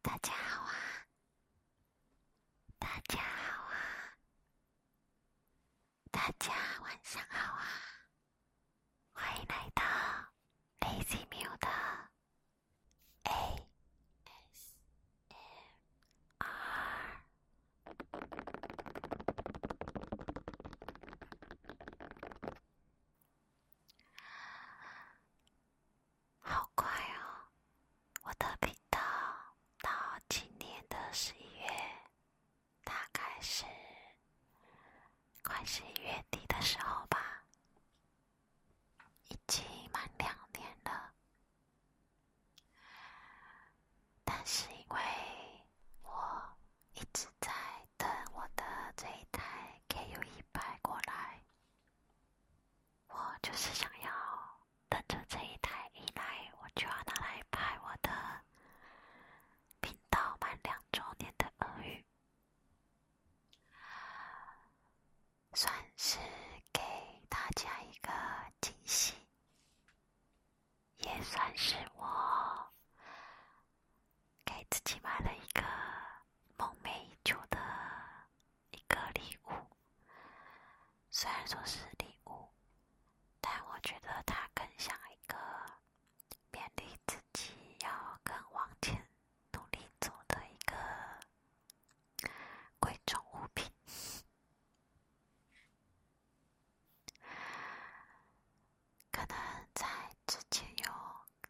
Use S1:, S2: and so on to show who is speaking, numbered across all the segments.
S1: 大家好啊。大家好啊！大家晚上好啊！欢迎来到 Lazy m u 的 A S M R。好快哦，我的频道到今年的十一月，大概是快十一月底的时候吧，已经满两年了。但是因为我一直在等我的这一台 KU 一百过来，我就是想要。等着这一台一来，我就要拿来拍我的频道满两周年的耳语，算是给大家一个惊喜，也算是我给自己买了一个梦寐以求的。一个礼物，虽然说是礼物，但我觉得它更像一个勉励自己要更往前努力走的一个贵重物品。可能在之前有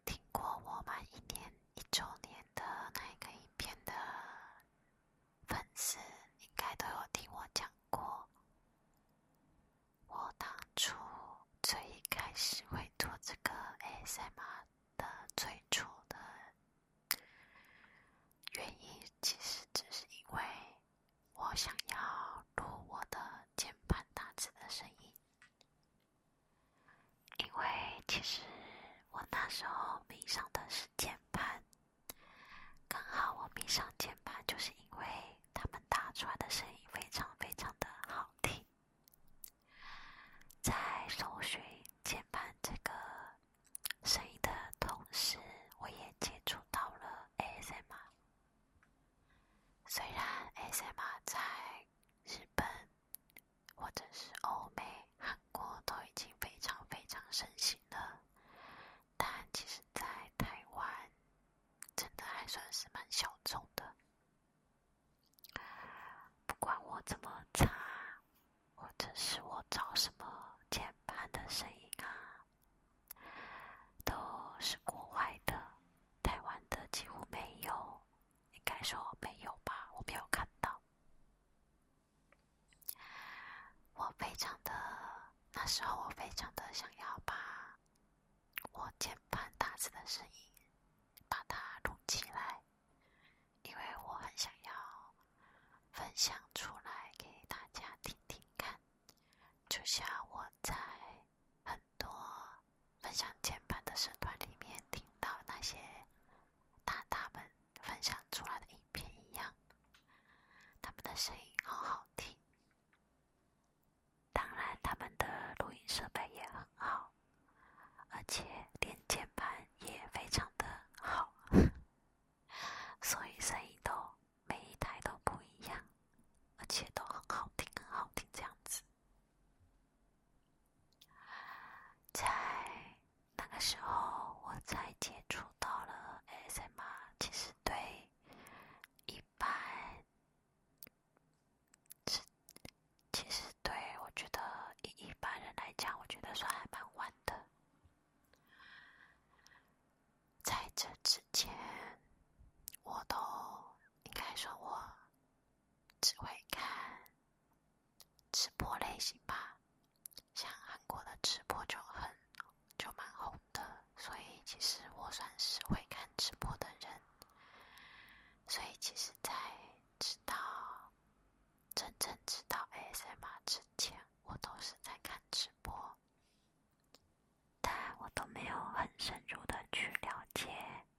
S1: 听过我们一年一周年的那一个影片的。粉丝应该都有听我讲过，我当初最一开始会做这个 S M R 的最初的，原因其实只是因为，我想要录我的键盘打字的声音，因为其实我那时候迷上的是键盘。刚好我迷上键盘，就是因为他们打出来的声音非常非常的好听。在搜寻键盘这个声音的同时，我也接触到了 a S M R。虽然 a S M R 在日本或者是欧美。韩国都已经非常非常盛行了，但其实，在台湾，真的还算是蛮小众的。不管我怎么查，或者是我找什么键盘的声音啊，都是国外的，台湾的几乎没有，应该说没有吧，我没有看到。我非常的那时候，我非常的想要把我键盘打字的声音把它录起来，因为我很想要分享出来给大家听听看，就像我在很多分享键盘的社团里面听到那些。大大们分享出来的影片一样，他们的声音好好听。当然，他们的录音设备也很好，而且连键盘也非常的好，所以声音都每一台都不一样，而且都很好听，很好听这样子。在。那个时候我才接触到了 SM，其实对一般，是其实对我觉得一一般人来讲，我觉得算还蛮晚的。在这之前，我都应该说，我只会看直播类型吧。像韩国的直播就很就蛮红的，所以其实我算是会看直播的人。所以其实，在知道真正知道 ASMR 之前，我都是在看直播，但我都没有很深入的去了解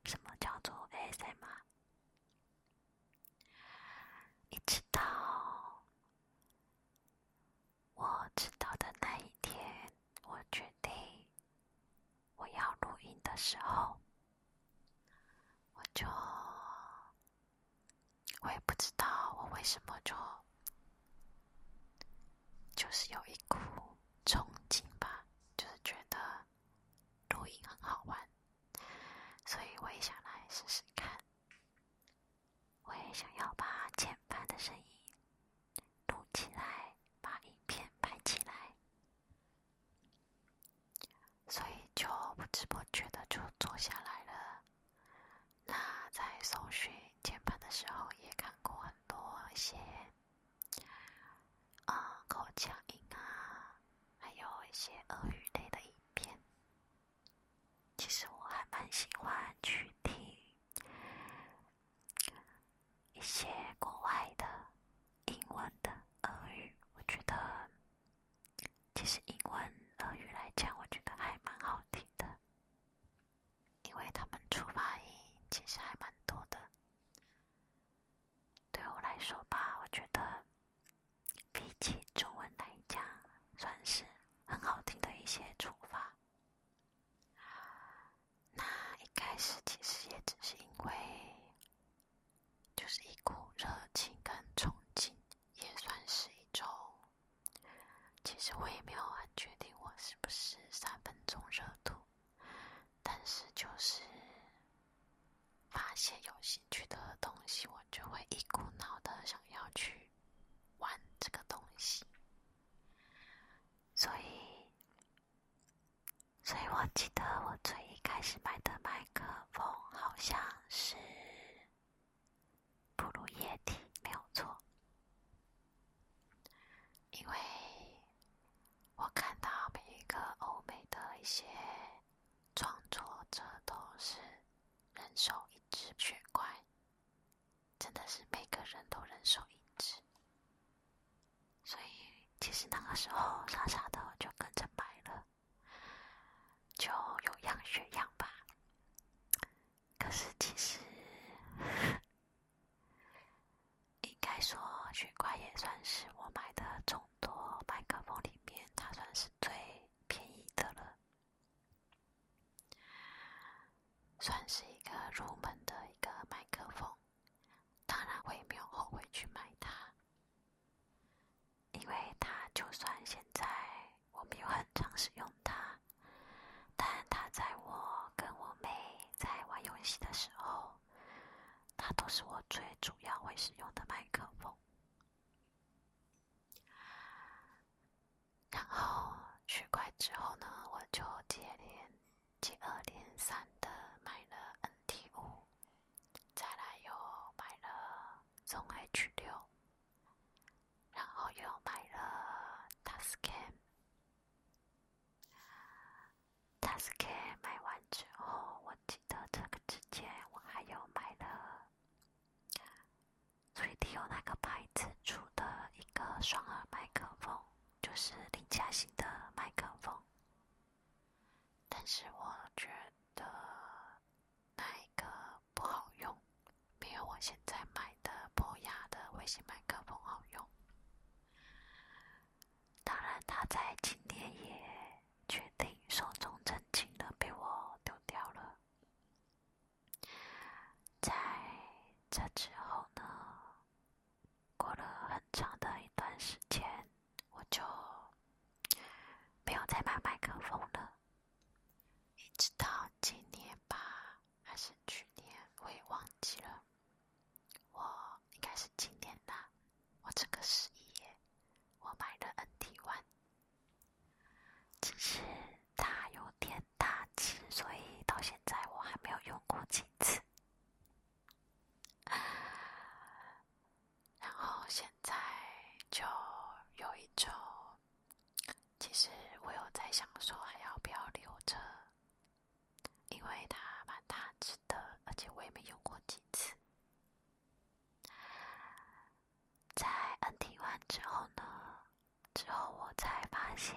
S1: 什么叫做 ASMR。一直到我知道的那一天，我决定我要录音的时候，我就我也不知道我为什么就就是有一股憧憬吧，就是觉得录音很好玩，所以我也想来试试看。我也想要把键盘的声音录起来，把影片拍起来，所以就不知不觉的就做下来了。那在搜寻键盘的时候，也看过很多一些啊口腔音啊，还有一些俄语类的影片。其实我还蛮喜欢去听一些国外的英文的俄语，我觉得其实英文俄语来讲，我觉得还蛮好听的，因为他们出发音其实还蛮多的。对我来说吧，我觉得。比起中文来讲，算是很好听的一些处罚。那一开始其实也只是因为，就是一股热情跟憧憬，也算是一种，其实我也没有啊，决定我是不是三分钟热度。但是就是发现有兴趣的东西，我就会一股脑的想要去。玩这个东西，所以，所以我记得我最一开始买的麦克风好像是，吐露液体，没有错，因为我看到每一个欧美的一些创作者都是人手一。这雪怪真的是每个人都人手一只，所以其实那个时候傻傻的就跟着买了，就有样学样吧。可是其实应该说雪怪也算是我买的众多麦克风里面，它算是最便宜的了。算是一个入门的一个麦克风，当然我也没有后悔去买它，因为它就算现在我没有很常使用它，但它在我跟我妹在玩游戏的时候，它都是我最主要会使用的麦克风。然后取块之后呢，我就接连接二连三的买了 N T 五，再来又买了从 H 六，然后又买了 Tuscan。t a s c a n 买完之后，我记得这个之前我还有买了。所以有哪那个牌子出的一个双耳麦克风，就是林嘉型的麦克风，但是我觉得那一个不好用，没有我现在买的博雅的微型麦克风好用。当然，它在今天也确定寿终正寝的被我丢掉了。在这之后呢，过了很长的一段时间，我就没有再买麦克风了。一直到今年吧，还是去年，我也忘记了。我应该是今年吧，我这个十一，我买了 n t One。只是它有点大只，所以到现在我还没有用过几次。然后现在就有一周，其实我有在想说还要不要留着，因为它蛮大只的，而且我也没用过几次。在 NT 完之后呢，之后我才发现，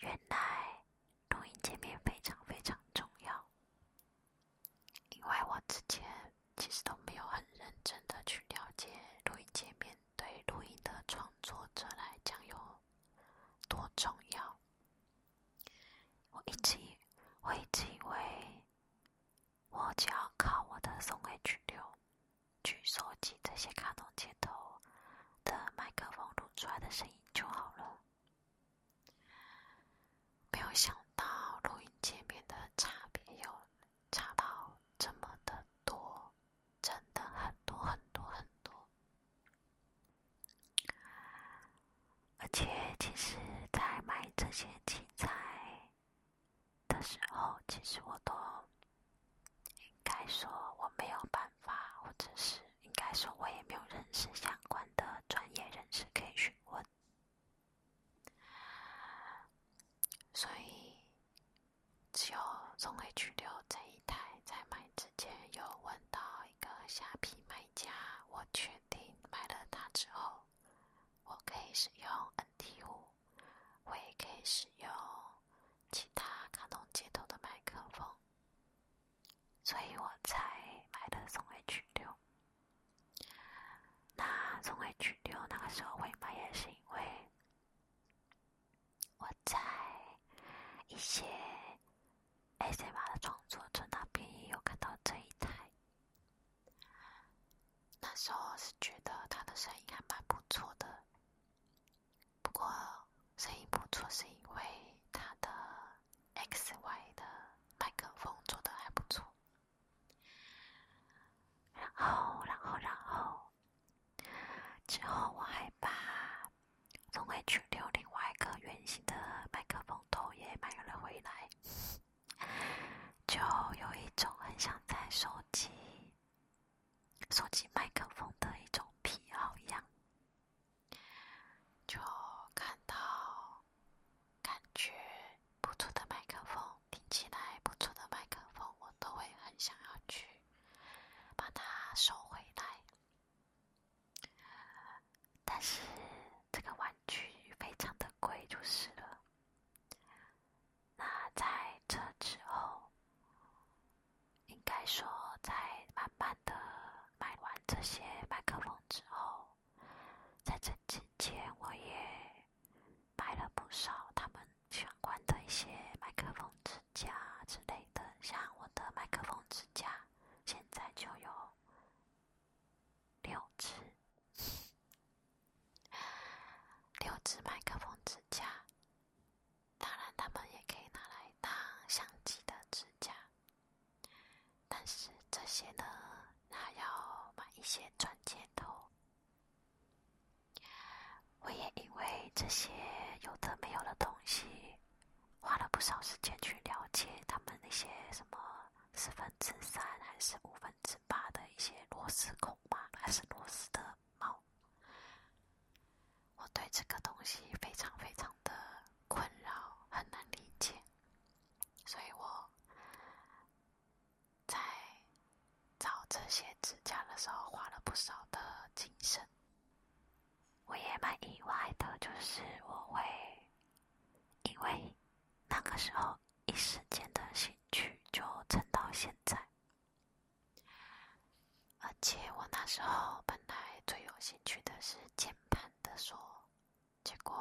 S1: 原来录音界面非常非常重要，因为我之前其实都没有很认真的去了解录音界面对录音的创作者来讲有多重要。我一直，我一直以为。我只要靠我的松 M 六，去收集这些卡通接头的麦克风录出来的声音就好了。没有想到录音界面的差别有差到这么的多，真的很多很多很多。而且，其实在买这些器材。的时候，其实我都应该说我没有办法，或者是应该说我也没有认识相关的专业人士可以询问，所以只有从 H 六这一台在买之前有问到一个下批卖家，我确定买了它之后。我可以使用 n t 五，我也可以使用其他卡通接头的麦克风，所以我才买的松 H 六。那松 H 六那个时候会买，也是因为我在一些 ACM 的创作者那边也有看到这一台。那时候是觉得他的声音还蛮不错的，不过声音不错是因为他的 XY 的麦克风做的还不错。然后，然后，然后，之后我还把从 H 六另外一个圆形的麦克风头也买了回来。就有一种很想在手机、手机麦克风的一种癖好一样，就看到感觉不错的麦克风，听起来不错的麦克风，我都会很想要去把它收回来，但是这个玩具非常的贵，就是了。那在这之后，应该说在慢慢的买完这些麦克风之后，在这之前我也买了不少他们相关的一些麦克风支架之类的，像我的麦克风支架现在就有六只。六只麦克风支架，当然，他们也可以拿来当相机的支架。但是这些呢，还要买一些转接头。我也因为这些有的没有的东西，花了不少时间去了解他们那些什么四分之三还是五分。之八的一些螺丝孔吧，还是螺丝的帽，我对这个东西非常非常的困扰，很难理解，所以我，在找这些指甲的时候花了不少的精神。我也蛮意外的，就是我会因为那个时候。一时间的兴趣就撑到现在，而且我那时候本来最有兴趣的是键盘的锁，结果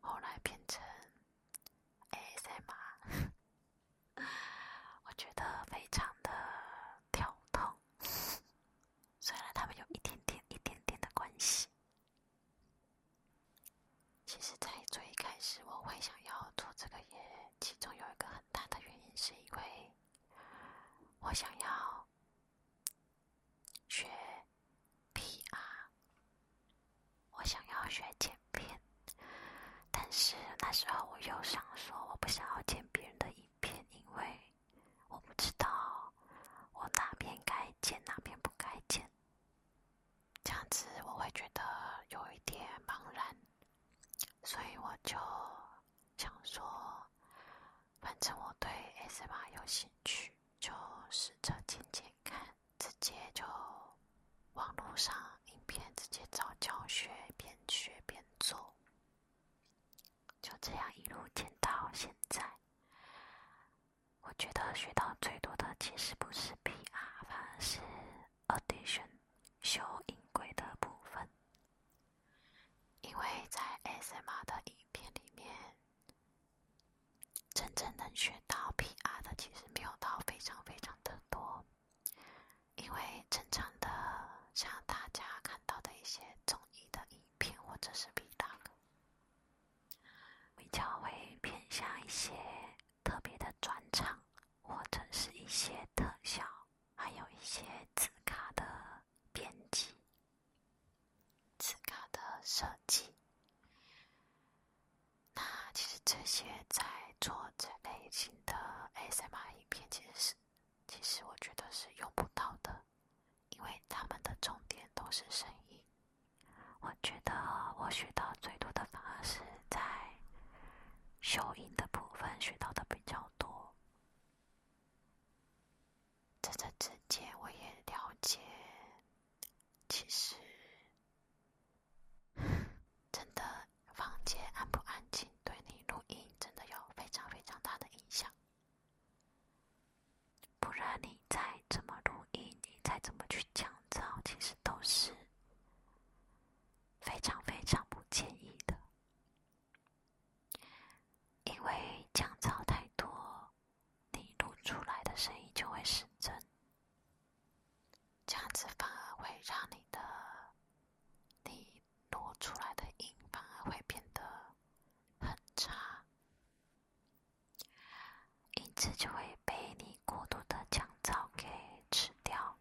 S1: 后来变成 A S M r 我觉得非常的跳痛，虽然他们有一点点、一点点的关系。其实，在最开始，我会想要做这个业，其中有一个很大的原因是因为我想要学 PR，我想要学剪片。但是那时候，我又想说，我不想要剪别人的影片，因为我不知道我哪边该剪，哪边不该剪。这样子我会觉得有一点茫然，所以我就想说，反正我对 s m 有兴趣，就试着剪剪看，直接就网络上影片直接找教学，边学边做，就这样一路剪到现在。我觉得学到最多的其实不是 PR，反而是。Audition 修音轨的部分，因为在 SMR 的影片里面，真正能学到 PR 的其实没有到非常非常的多，因为正常的像大家看到的一些综艺的影片或者是 Vlog，比较会偏向一些特别的专场。或者是一些特效，还有一些字卡的编辑、字卡的设计。那其实这些在做这类型的 A r 影片是其实我觉得是用不到的，因为他们的重点都是声音。我觉得我学到最多的反而是在。收音的部分学到的比较多，在这之前我也了解，其实 真的房间安不安静对你录音真的有非常非常大的影响，不然你再怎么录音，你再怎么去降噪，其实都是。非常非常不建议的，因为降噪太多，你录出来的声音就会失真，这样子反而会让你的你录出来的音反而会变得很差，音质就会被你。过度的降噪给吃掉。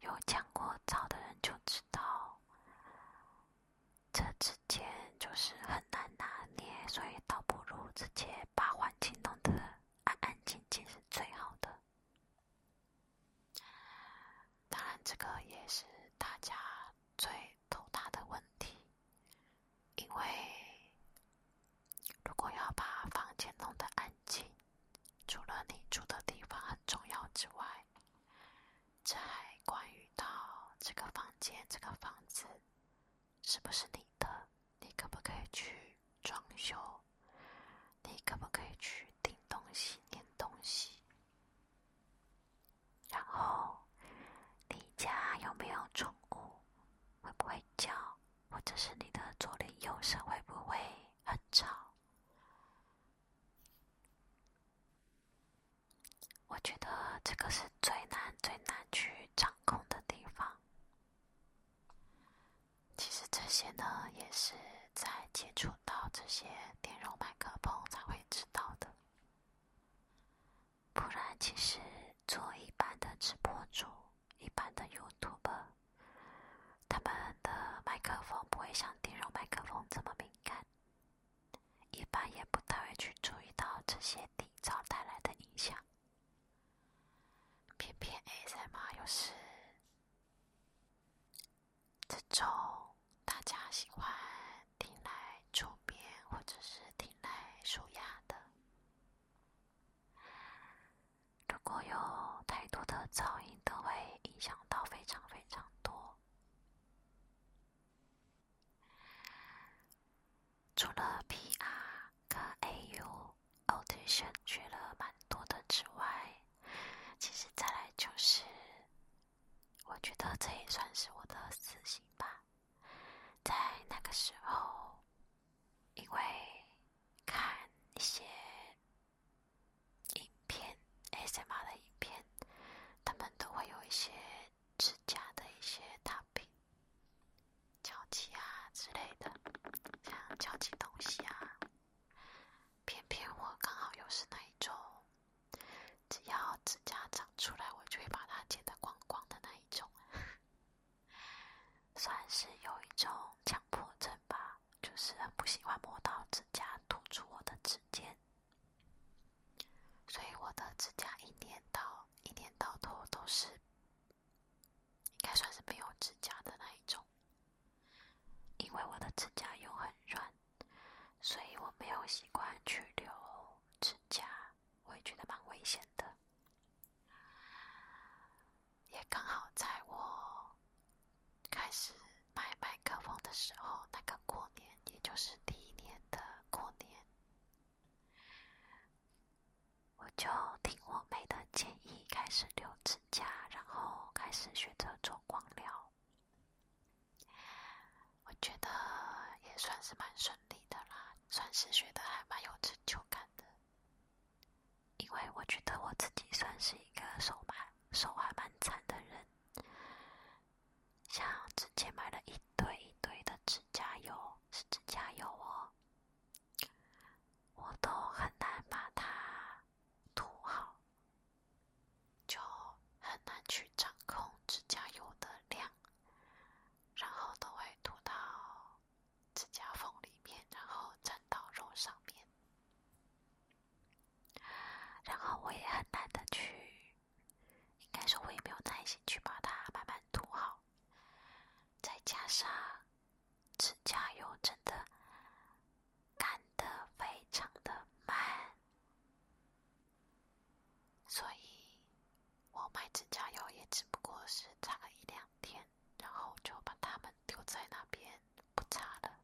S1: 有降过噪的人就知道，这之间就是很难拿捏，所以倒不如直接把环境弄得安安静静是最好的。当然，这个也是大家最头大的问题，因为。如果要把房间弄得安静，除了你住的地方很重要之外，这还关于到这个房间、这个房子是不是你的，你可不可以去装修，你可不可以去订东西、点东西，然后你家有没有宠物，会不会叫？或者是你的左邻右舍会不会很吵？我觉得这个是最难、最难去掌控的地方。其实这些呢，也是在接触到这些电容麦克风才会知道的。不然，其实做一般的直播主。一般的 YouTuber，他们的麦克风不会像电容麦克风这么敏感，一般也不太会去注意到这些底噪带来的影响。偏偏 SM r 又是这种大家喜欢听来助眠或者是听来舒压的。如果有太多的噪音，都会影响到非常非常多。除了 P.R. 跟 A.U. audition 去了蛮多的之外，其实再来就是，我觉得这也算是我的私心吧。在那个时候，因为。看一些影片，S M R 的影片，他们都会有一些指甲的一些大平、胶气啊之类的，像胶基东西啊。偏偏我刚好又是那一种，只要指甲长出来，我就会把它剪得光光的那一种。算是有一种强迫症吧，就是很不喜欢磨到指甲突出我的指尖，所以我的指甲一年到一年到头都是，应该算是没有指甲的那一种。因为我的指甲又很软，所以我没有习惯去留指甲，我也觉得蛮危险的。也刚好在我开始买麦克风的时候，那个过年，也就是第一年的过年，我就听我妹的建议，开始留指甲，然后开始学着做光疗。我觉得也算是蛮顺利的啦，算是学的还蛮有成就感的。因为我觉得我自己算是一个手蛮手还蛮残的人，像之前买了一堆一堆的指甲油，是指甲油哦，我都很难把它涂好，就很难去掌控指甲油的量，然后都会涂到。指甲缝里面，然后粘到肉上面。然后我也很懒得去，应该说我也没有耐心去把它慢慢涂好。再加上指甲油真的干的非常的慢，所以我买指甲油也只不过是擦了一两天，然后就把它们。丢在那边不擦了。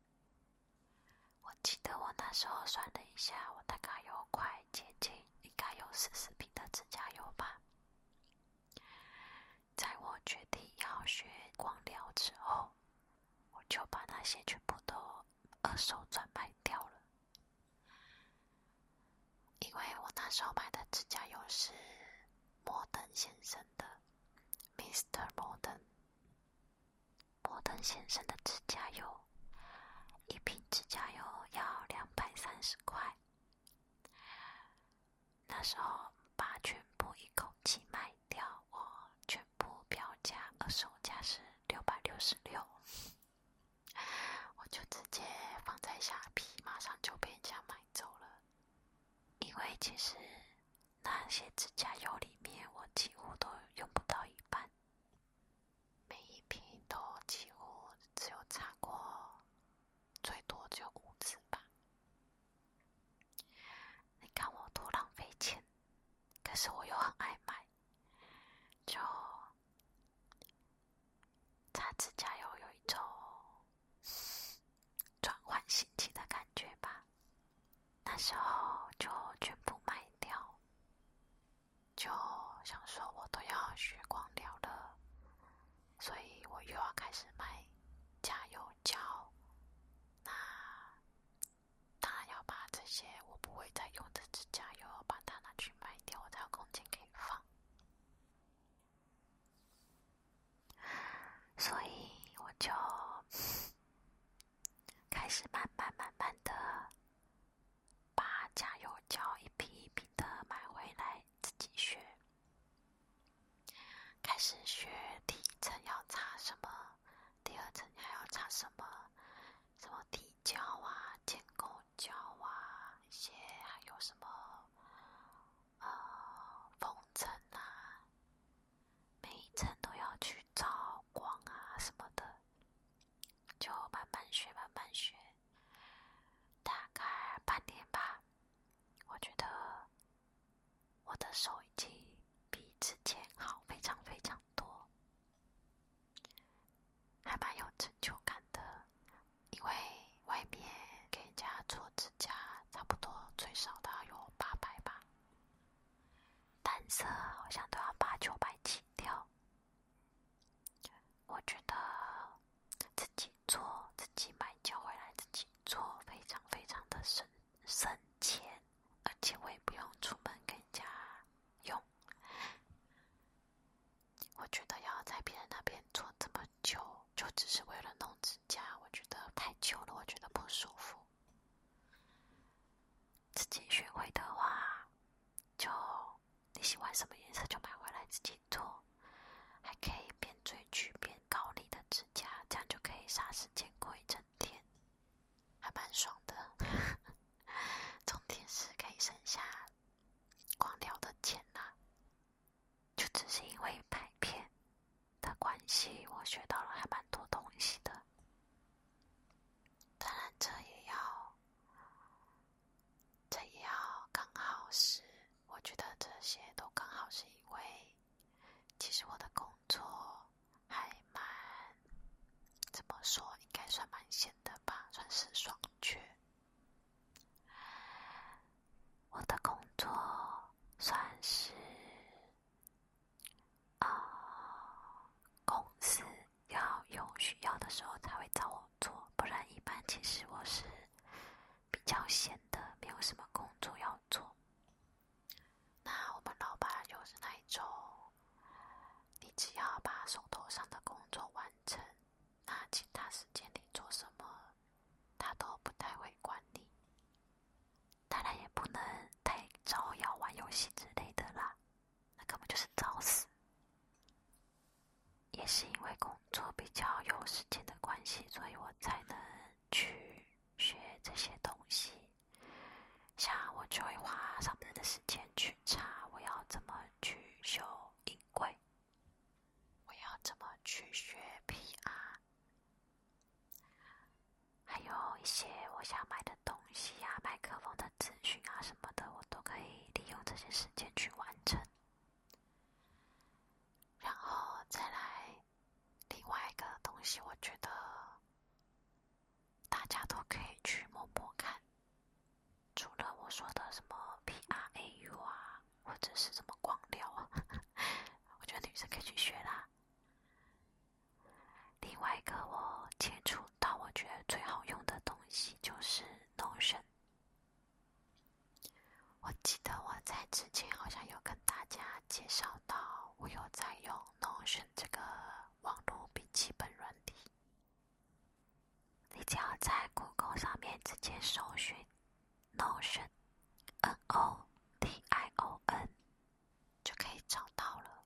S1: 我记得我那时候算了一下，我大概有快接近应该有四十瓶的指甲油吧。在我决定要学光疗之后，我就把那些全部都二手转卖掉了，因为我那时候买的指甲油是。摩登先生的，Mr. 摩登。摩登先生的指甲油，一瓶指甲油要两百三十块。那时候把全部一口气卖掉，我全部标价，二手价是六百六十六，我就直接放在下批，马上就被人家买走了。因为其实那些指甲油里面，我几乎都用不到一半，每一瓶都几乎只有擦过最多只有五次吧。你看我多浪费钱，可是我又很爱买。就擦指甲油有一种。转换心情的感觉吧，那时候就全部卖掉。就想说我都要学光疗了，所以我又要开始卖甲油胶。那当然要把这些我不会再用的指甲油，把它拿去卖掉，我才有空间可以放。所以我就开始慢慢慢慢的把加油胶一批一批的买回来自己学，开始学第一层要擦什么，第二层还要擦什么，什么底胶啊、建构胶啊，一些还有什么。呃，风筝啊，每一层都要去照光啊什么的，就慢慢学，慢慢学。大概半年吧，我觉得我的手已经比之前好非常非常多，还蛮有成就感的，因为。外面给人家做指甲，差不多最少都要有八百吧，单色好像都要八九百起跳。我觉得自己做自己买，胶回来、自己做非常非常的省省钱，而且我也不用出门给人家用。我觉得要在别人那边做这么久，就只是为了弄指甲。家我觉得太久了，我觉得不舒服。自己学会的话，就你喜欢什么颜色就买回来自己做，还可以变追剧变高丽的指甲，这样就可以杀时间过一整天，还蛮爽的。重点是可以省下光疗的钱啦。就只是因为拍片的关系，我学到了还蛮多东西的。当然，这也要，这也要刚好是。我觉得这些都刚好是因为，其实我的工作还蛮，怎么说，应该算蛮闲的吧，算是爽缺。我的工作算是啊，公司要有需要的时候才会找我做，不然一般其实我是比较闲的，没有什么工作要做。那我们老板就是那一种？你只要把手头上的工作完成，那其他时间你做什么？他都不太会管你，当然也不能太招摇玩游戏之类的啦，那根本就是找死。也是因为工作比较有时间的关系，所以我才能去学这些东西。像我就会花上班的时间去查我要怎么去修音轨，我要怎么去学 PR。还有一些我想买的东西呀，麦克风的咨询啊什么的，我都可以利用这些时间去完成。然后再来另外一个东西，我觉得大家都可以去摸摸看，除了我说的什么 p r a u 啊。或者是怎么光聊啊？我觉得女生可以去学啦。另外一个我接触到，我觉得最好用的东西就是 notion。我记得我在之前好像有跟大家介绍到，我有在用 notion 这个网络笔记本软体。你只要在 Google 上面直接搜寻。Notion，N O T I O N，就可以找到了。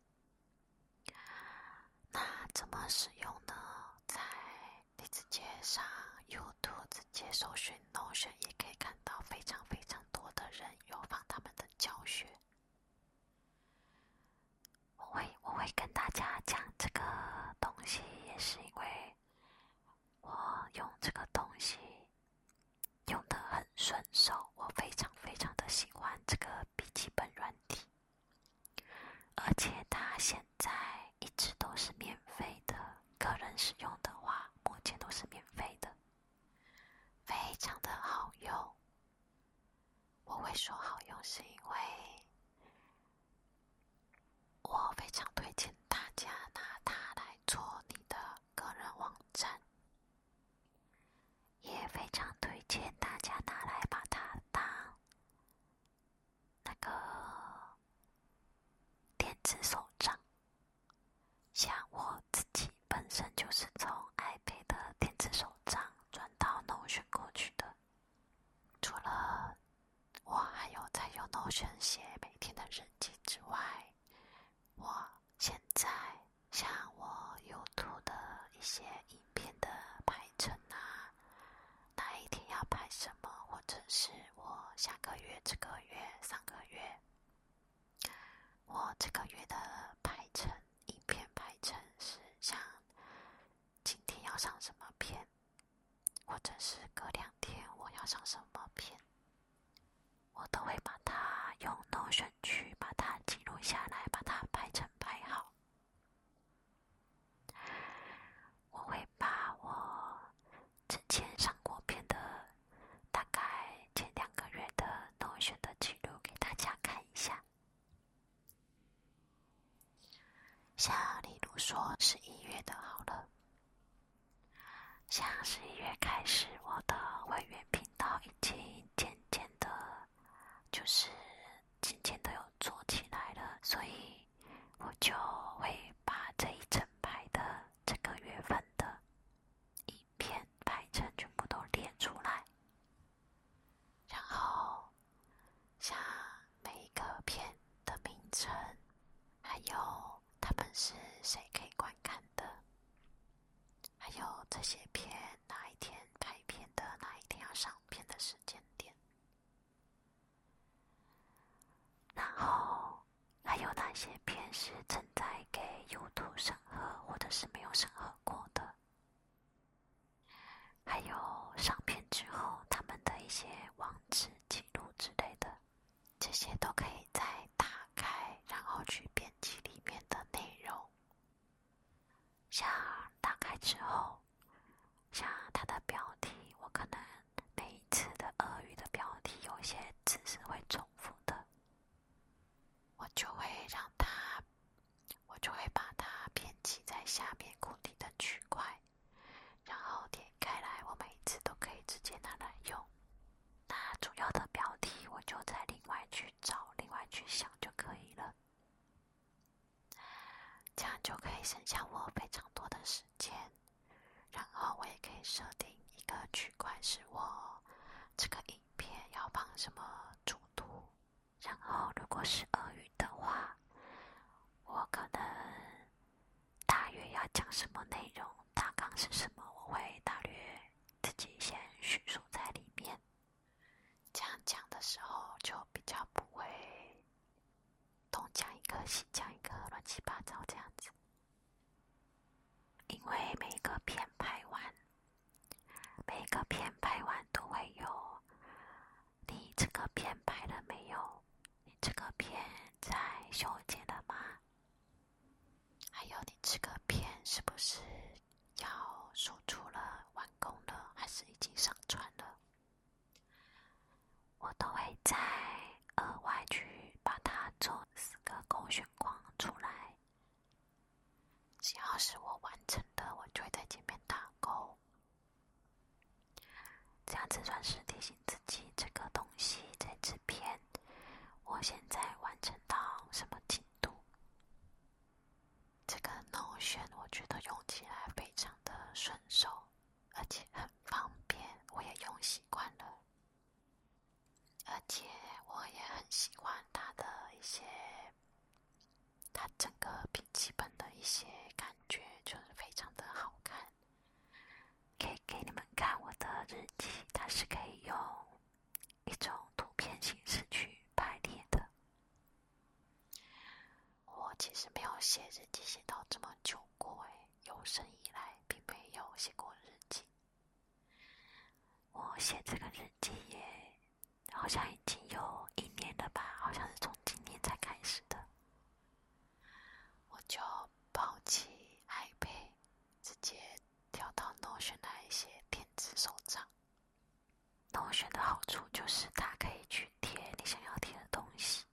S1: 那怎么使用呢？在你直接上 YouTube 直接搜寻 Notion，也可以看到非常非常多的人有放他们的教学。我会我会跟大家讲这个东西，也是因为我用这个东西。用的很顺手，我非常非常的喜欢这个笔记本软体，而且它现在一直都是免费的，个人使用的话目前都是免费的，非常的好用。我会说好用，是因为我非常推荐大家拿它来做你的。个人网站也非常推荐大家拿来把它当那个电子手账。像我自己本身就是从 iPad 的电子手账转到 Notion 过去的，除了我还有在用 Notion 写每天的日记之外。我现在像我有图的一些影片的排程啊，哪一天要拍什么，或者是我下个月、这个月、上个月，我这个月的排程影片排程是像今天要上什么片，或者是隔两天我要上什么片。我都会把它用 Notion 去把它记录下来，把它排成排号。我会把我之前上过片的，大概前两个月的 Notion 的记录给大家看一下。像例如说十一月的，好了。像十一月开始，我的会员频道已经渐渐的，就是渐渐的有做起来了，所以，我就会把这一整排的这个月份的影片排成全部都列出来，然后，像每一个片的名称，还有。他们是谁可以观看的？还有这些片哪一天拍片的，哪一天要上片的时间点？然后还有哪些片是正在给优图审核，或者是没有审核过的？还有上片之后他们的一些网址记录之类的。这些都可以再打开，然后去编辑里面的内容。像打开之后，像它的标题，我可能每一次的俄语的标题有些字是会重复的，我就会让它，我就会把它编辑在下面固定的区块，然后点开来，我每一次都可以直接拿来用。那主要的标题，我就再另外去找、另外去想就可以了。这样就可以省下我非常多的时间。然后我也可以设定一个区块，是我这个影片要放什么主图。然后如果是俄语的话，我可能。大约要讲什么内容，大纲是什么，我会大约自己先叙述在里面，这样讲的时候就比较不会东讲一个西讲一个乱七八糟这样子。因为每一个片拍完，每一个片拍完都会有，你这个片拍了没有？你这个片在修剪了吗？还有，你这个片是不是要输出了、完工了，还是已经上传了？我都会再额外去把它做四个勾选框出来。只要是我完成的，我就会在界面打勾，这样子算是提醒自己这个东东西在这边，我现在完成到什么进度？这个 Notion 我觉得用起来非常的顺手，而且很方便，我也用习惯了。而且我也很喜欢它的一些，它整个笔记本的一些感觉，就是非常的好看。可以。给你们看我的日记，它是可以用一种图片形式去排列的。我其实没有写日记写到这么久过哎，有生以来并没有写过日记。我写这个日记也好像已经有一年了吧，好像是从今年才开始的。我就抛弃 iPad，直接。调到 Notion 的一些电子手账。Notion 的好处就是它可以去贴你想要贴的东西，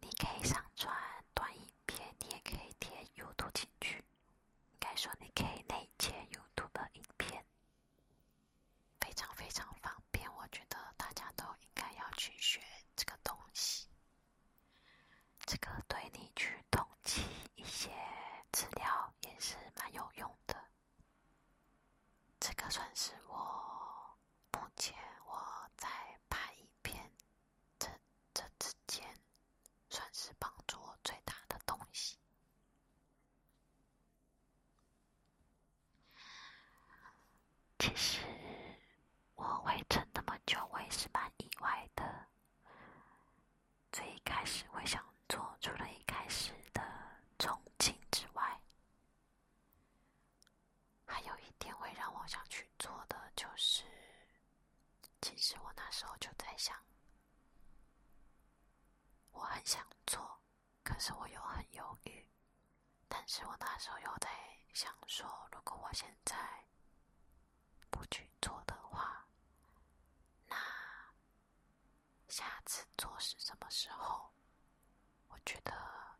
S1: 你可以上传短影片，你也可以贴 YouTube 进去。应该说你可以内嵌 YouTube 的影片，非常非常方便。我觉得大家都应该要去学这个东西。这个对你去统计一些资料也是蛮有用的。这个算是我目前我在拍影片这这之间，算是帮助我最大的东西。其实我会撑那么久，我也是蛮意外的。最一开始会想做，除了一开始的憧憬之外，还有一点会让我想去做的就是，其实我那时候就在想，我很想做，可是我又很犹豫，但是我那时候又在想说，如果我现在。不去做的话，那下次做是什么时候？我觉得，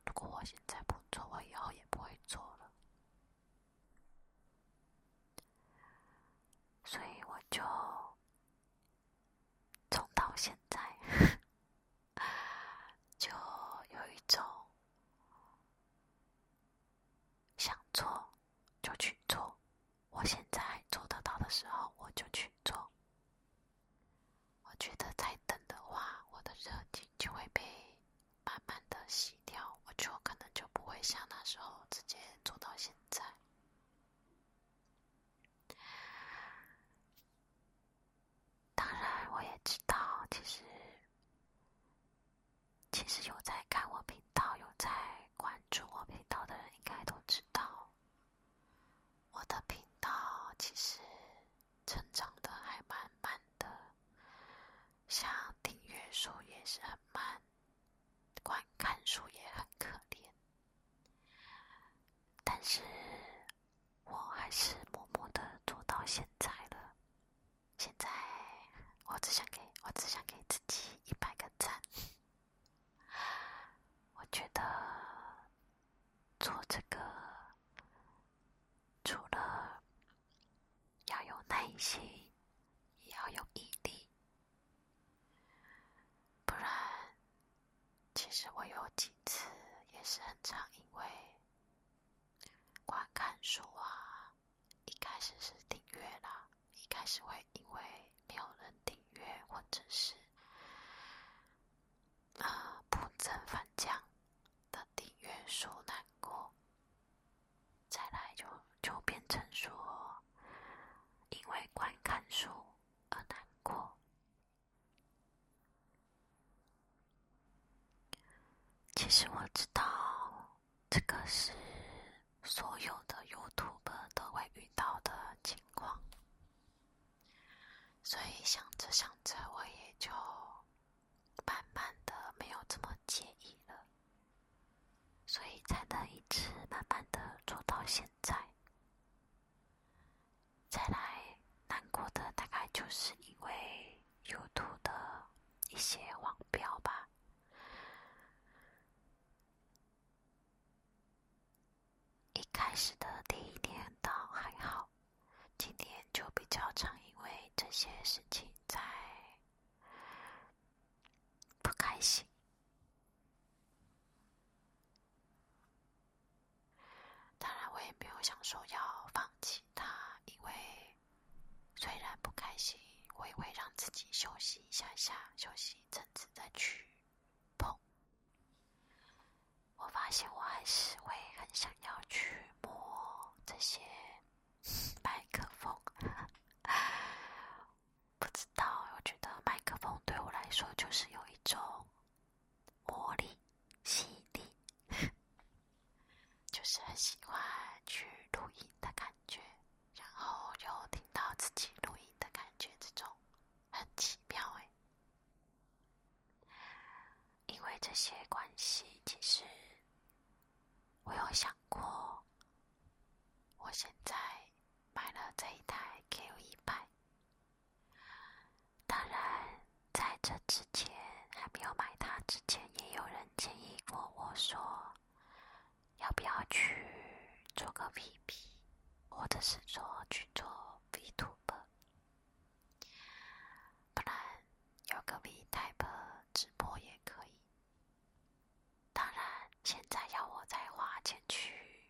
S1: 如果我现在不做，我以后也不会做了。所以我就从到现在，就有一种。想做就去做，我现在做得到的时候我就去做。我觉得再等的话，我的热情就会被慢慢的洗掉，我就可能就不会像那时候直接做到现在。当然，我也知道，其实。其实有在看我频道、有在关注我频道的人，应该都知道，我的频道其实成长的还蛮慢的，像订阅数也是很慢，观看数也很可怜。但是我还是默默的做到现在了。现在我只想给我只想给自己一百个赞。我觉得做这个除了要有耐心，也要有毅力。不然，其实我有几次也是很常因为观看书啊。一开始是订阅啦，一开始会因为没有人订阅，或者是啊不增反降的订阅数难过，再来就就变成说因为观看数而难过。其实我知道。这个是所有的 y o u t u b e 都会遇到的情况，所以想着想着，我也就慢慢的没有这么介意了，所以才能一直慢慢的做到现在。再来难过的大概就是因为 y o u t u b e 的一些网标吧。一开始的第一天倒还好，今天就比较常因为这些事情在不开心。当然，我也没有想说要放弃他，因为。虽然不开心，我也会让自己休息一下下，休息一阵子再去碰。我发现我还是会很想要去摸这些麦克风，不知道，我觉得麦克风对我来说就是有一种魔力、吸引力，就是很喜欢去录音的感觉。觉，然后又听到自己录音的感觉，这种很奇妙哎。因为这些关系，其实我有想过，我现在买了这一台 Q 一百。当然，在这之前还没有买它之前，也有人建议过我说。要不要去做个 VP，或者是说去做 Vtuber？不然有个 v t y p e 直播也可以。当然，现在要我再花钱去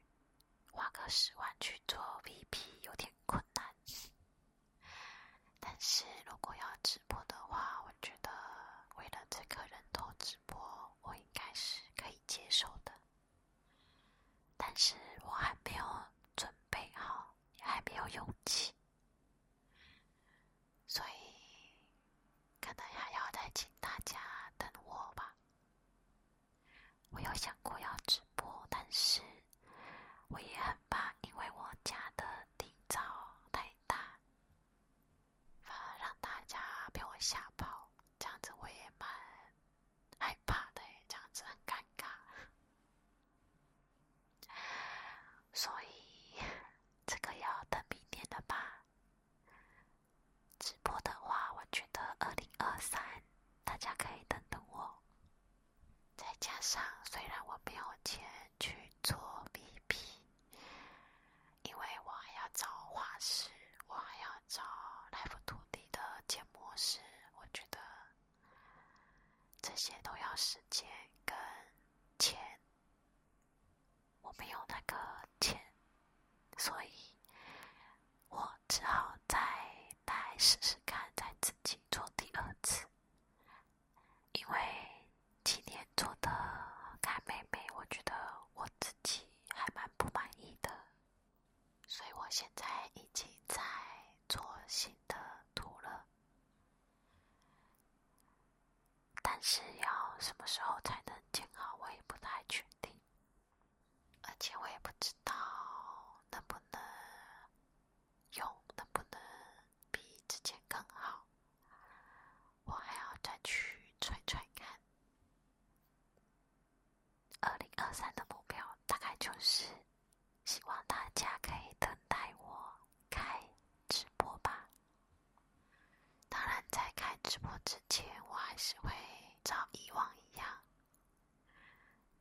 S1: 花个十万去做 VP 有点困难，但是如果要直播的话，我觉觉得为了这个人头直播，我应该是可以接受的，但是我还没有准备好，也还没有勇气，所以可能还要再请大家等我吧。我有想过要直播，但是我也很怕，因为我家的地噪太大。反而让大家被我吓跑，这样子我也蛮害怕的，这样子很尴尬。所以这个要等明天了吧？直播的话，我觉得二零二三大家可以等等我。再加上，虽然我没有钱。去做 B p 因为我还要找画师，我还要找 Live 土地的建模师，我觉得这些都要时间跟钱，我没有那个钱，所以我只好再来试试看，再自己做第二次，因为。今年做的卡妹妹，我觉得我自己还蛮不满意的，所以我现在已经在做新的图了。但是要什么时候才能建好，我也不太确定。而且我也不知道能不能用，能不能比之前更好。我还要再去揣揣看。二零二三的目标大概就是，希望大家可以等待我开直播吧。当然，在开直播之前，我还是会照以往一样，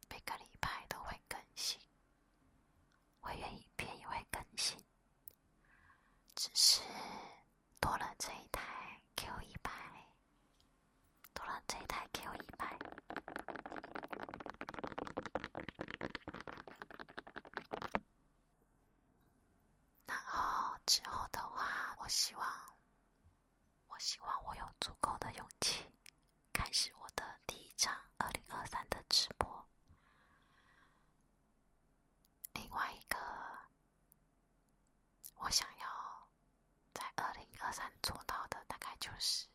S1: 每个礼拜都会更新，会愿意片也会更新。只是多了这一台 Q 一百，多了这一台 Q 一百，然后之后的话，我希望，我希望我有足够的勇气，开始我的第一场二零二三的直播。另外一个，我想要在二零二三做到的，大概就是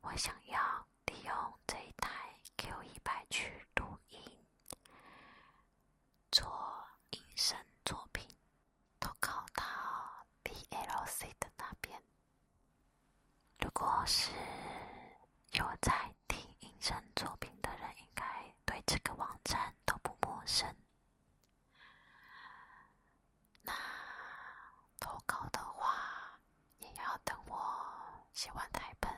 S1: 我想要利用这一台 Q 一百去录音，做音声作品，投稿到 DLC 的那边。如果是有在。听音声作品的人应该对这个网站都不陌生。那投稿的话，也要等我写完台本，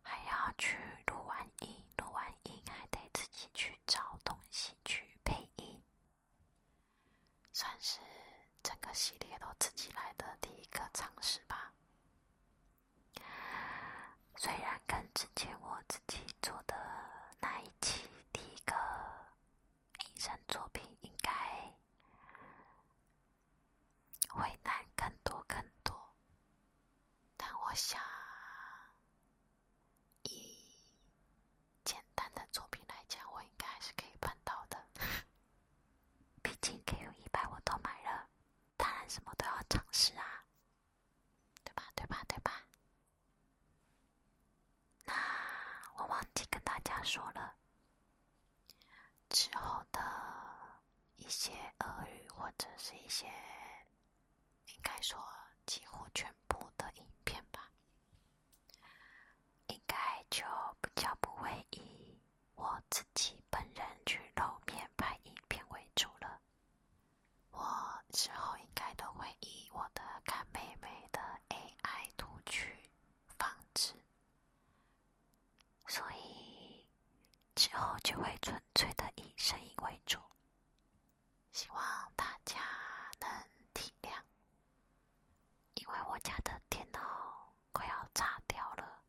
S1: 还要去录完音，录完音还得自己去找东西去配音，算是整个系列都自己来的第一个尝试吧。虽然跟之前我自己做的那一期第一个银山作品应该会难更多更多，但我想以简单的作品来讲，我应该还是可以办到的。毕竟可以一百我都买了。当然，什么都要尝试啊，对吧？对吧？对吧？那我忘记跟大家说了，之后的一些俄语或者是一些，应该说几乎全部的影片吧，应该就比较不会译。我自己本人去露面拍影片为主了，我之后应该都会以我的干妹妹的 AI 图去放置，所以之后就会纯粹的以声音为主，希望大家能体谅，因为我家的电脑快要炸掉了。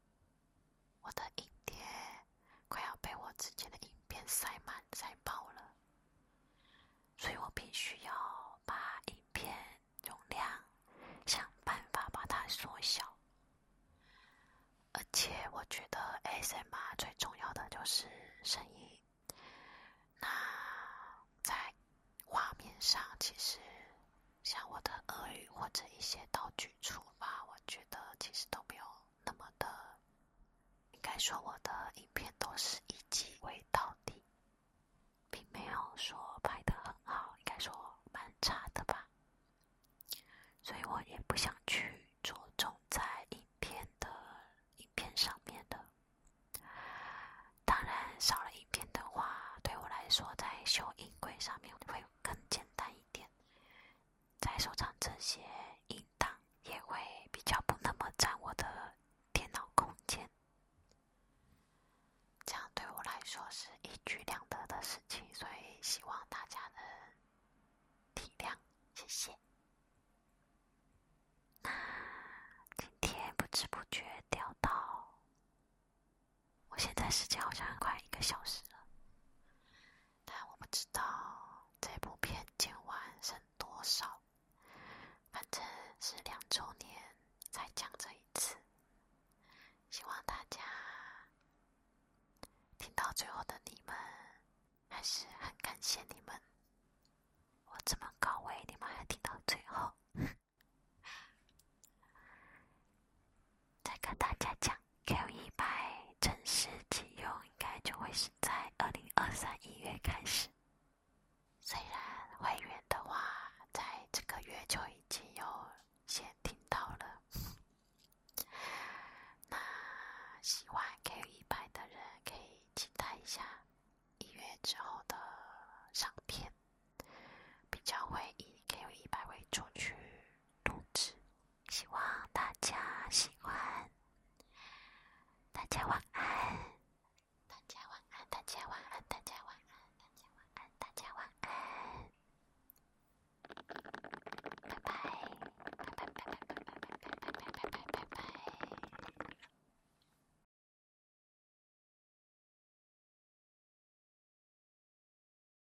S1: 我的影碟快要被我之前的影片塞满塞爆了，所以我必须要把影片容量想办法把它缩小。而且我觉得 A S M r 最重要的就是声音，那在画面上其实。像我的恶语或者一些道具出发，我觉得其实都没有那么的。应该说，我的影片都是以己为导底，并没有说拍的很好，应该说蛮差的吧。所以我也不想去着重在影片的影片上面的。当然，少了影片的话，对我来说，在修音轨上面会更简单一点。在收藏这些应当也会比较不那么占我的电脑空间，这样对我来说是一举两得的事情，所以希望大家能体谅，谢谢。那今天不知不觉掉到。我现在时间好像快一个小时了，但我不知道这部片今晚剩多少。反正是两周年才讲这一次，希望大家听到最后的你们，还是很感谢你们。我这么高位，你们还听到最后？再跟大家讲。Q 一百正式启用应该就会是在二零二三一月开始，虽然会员的话在这个月就已经有先听到了，那喜欢 Q 一百的人可以期待一下一月之后的上片，比较会以 Q 一百为主去录制。希望大家喜欢，大家晚安，大家晚安，大家晚安，大家晚安，大家晚安，大家晚安，拜拜，拜拜